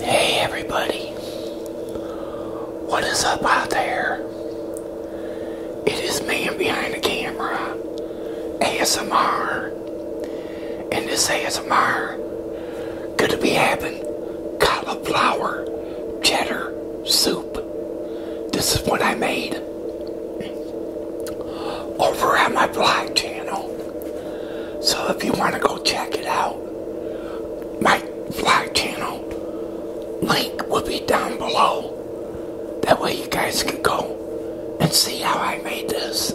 Hey everybody, what is up out there? It is man behind the camera, ASMR, and this ASMR gonna be having cauliflower cheddar soup. This is what I made over at my vlog channel. So if you want to go check it out, my vlog channel link will be down below. That way you guys can go and see how I made this.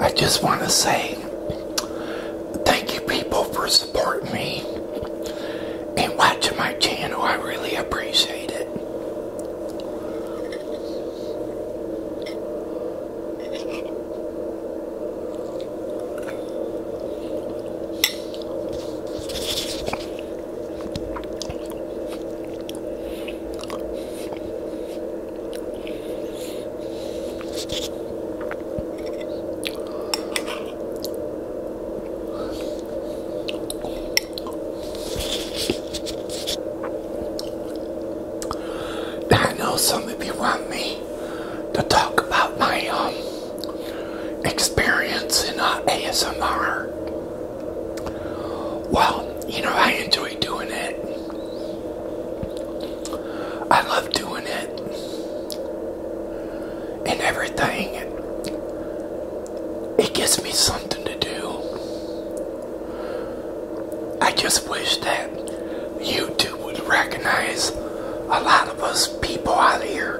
I just want to say thank you people for supporting me and watching my channel. I really appreciate it. I know some of you want me to talk about my um, experience in uh, ASMR. Well, you know, I enjoy doing it. I love doing it and everything. It gives me something to do. I just wish that YouTube would recognize a lot of us people out here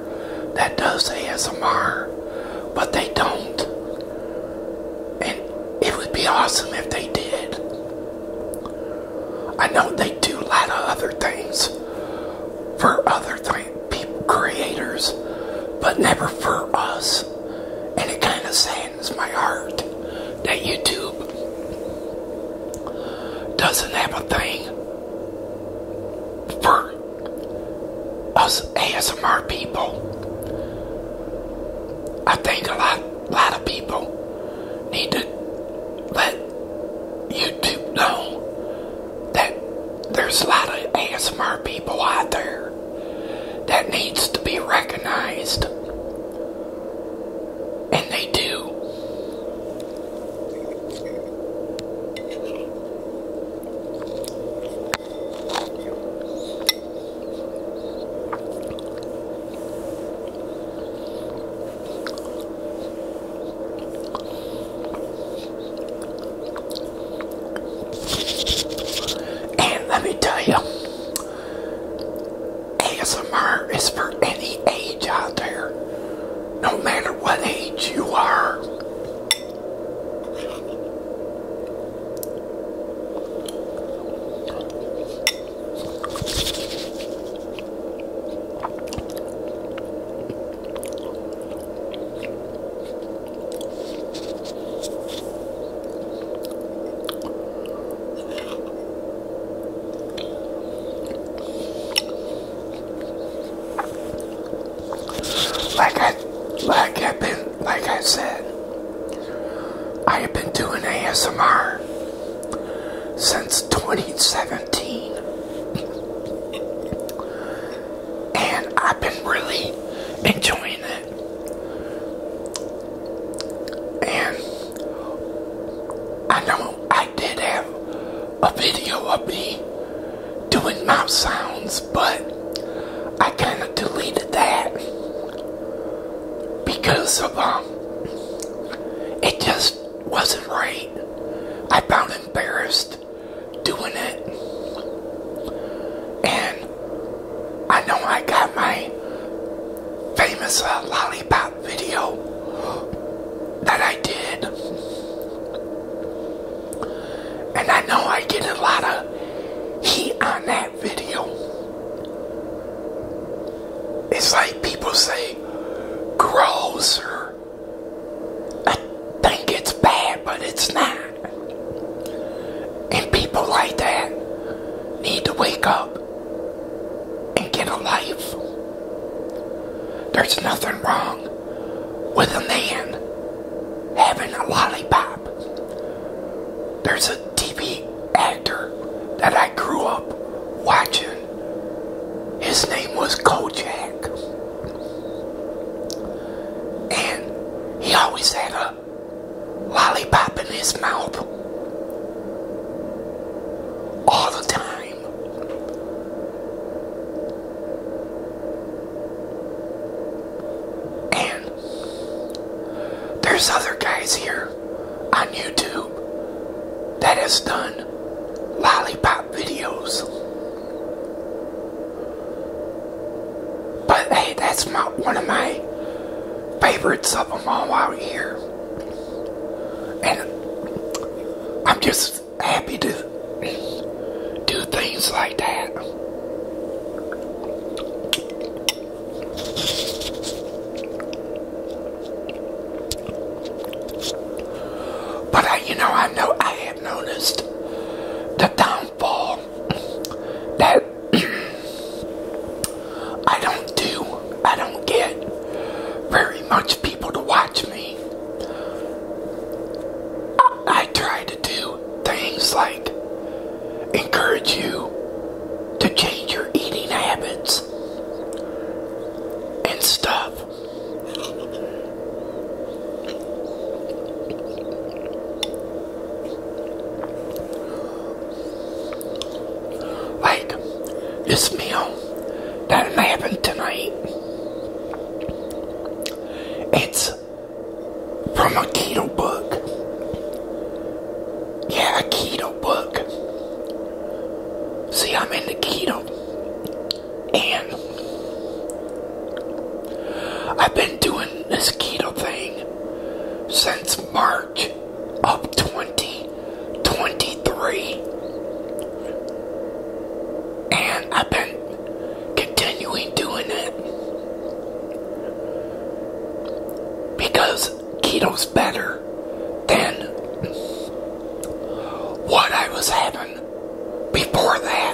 that does ASMR, but they don't. And it would be awesome if they did. I know they do a lot of other things for other people, creators, but never for us. And it kind of saddens my heart that YouTube doesn't have a thing for us ASMR people. I think a lot, lot of people need to let YouTube know that there's a lot of ASMR people out there that needs to be recognized. And they do. And let me tell you, ASMR is for any age out there, no matter what age you are. Like I, like I've been, like I said, I have been doing ASMR since 2017. And I've been really enjoying it. And I know I did have a video of me doing mouth sounds, but I kind of deleted that because of, um, it just wasn't right. I found embarrassed doing it. And I know I got my famous uh, lollipop video that I did. And I know I get a lot of heat on that video. It's like people say, much I think it's bad, but it's not. And people like that need to wake up and get a life. There's nothing wrong with a man having a lollipop. There's a TV actor that I grew up watching his name was Kojak. And he always had a lollipop in his mouth. All the time. And there's other guys here on YouTube that has done lollipop videos. But hey, that's my, one of my favorites of them all out here. And I'm just happy to do things like that. But I, you know, I know I have noticed the downfall that I don't do. I don't get very much people to watch me. I, I try to do things like encourage you to change your eating habits and stop. Like this meal that I'm tonight. It's from a keto book. Yeah, a keto book. See, I'm in the keto. And I've been doing this keto thing since March of 2023. And I've been continuing doing it. Because keto's better. Then, what I was having before that.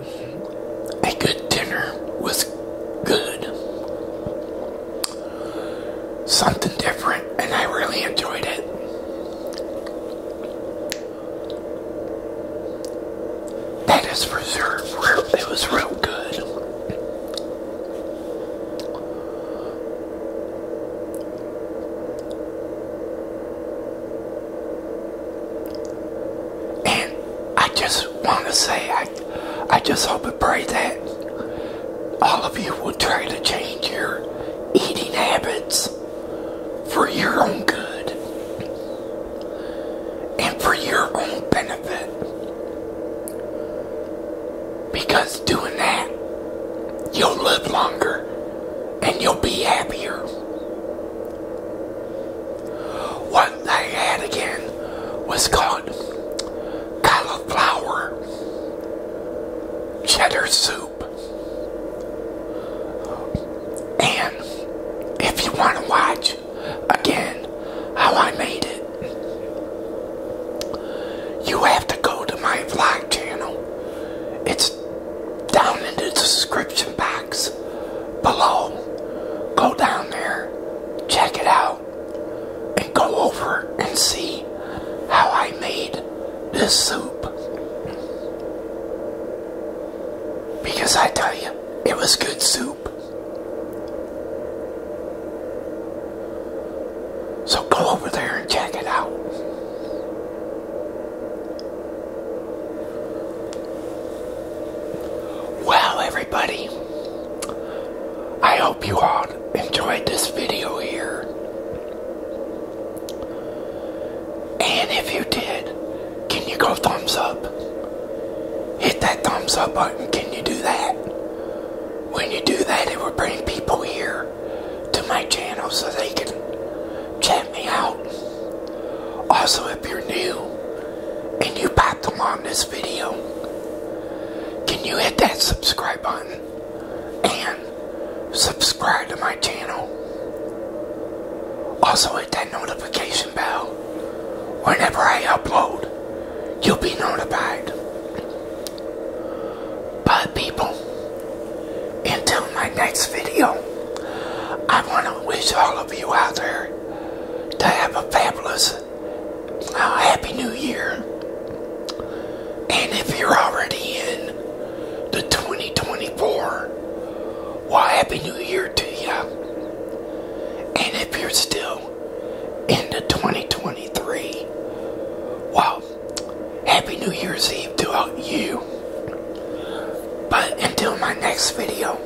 a good dinner was good. Something different, and I really enjoyed it. That is for sure. It was real good. And I just want to say, I, I just hope and pray that all of you will try to change your eating habits for your own good and for your own benefit. Because doing that, you'll live longer and you'll be happier. What I had again was called cauliflower cheddar soup. And if you want to watch again how I made it, you have to go to my vlog channel. It's down in the description box below. Go down there, check it out, and go over and see how I made this soup. Because I tell you, it was good soup. So go over there and check it out. Well, everybody, I hope you all enjoyed this video here. And if you did, can you go thumbs up? Hit that thumbs up button. Can you do that? When you do that, it will bring people here to my channel so they can check me out. Also, if you're new and you popped along this video, can you hit that subscribe button and subscribe to my channel? Also, hit that notification bell. Whenever I upload, you'll be notified. But, people, until my next video, I want to wish all of you out there to have a fabulous, uh, Happy New Year. And if you're already in the 2024, well, Happy New Year to you. And if you're still in the 2023, well, Happy New Year's Eve to you. But until my next video,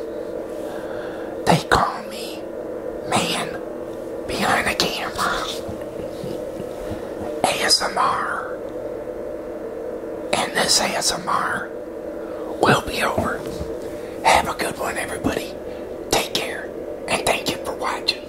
they call me Man Behind the Camera. ASMR. And this ASMR will be over. Have a good one, everybody. Take care. And thank you for watching.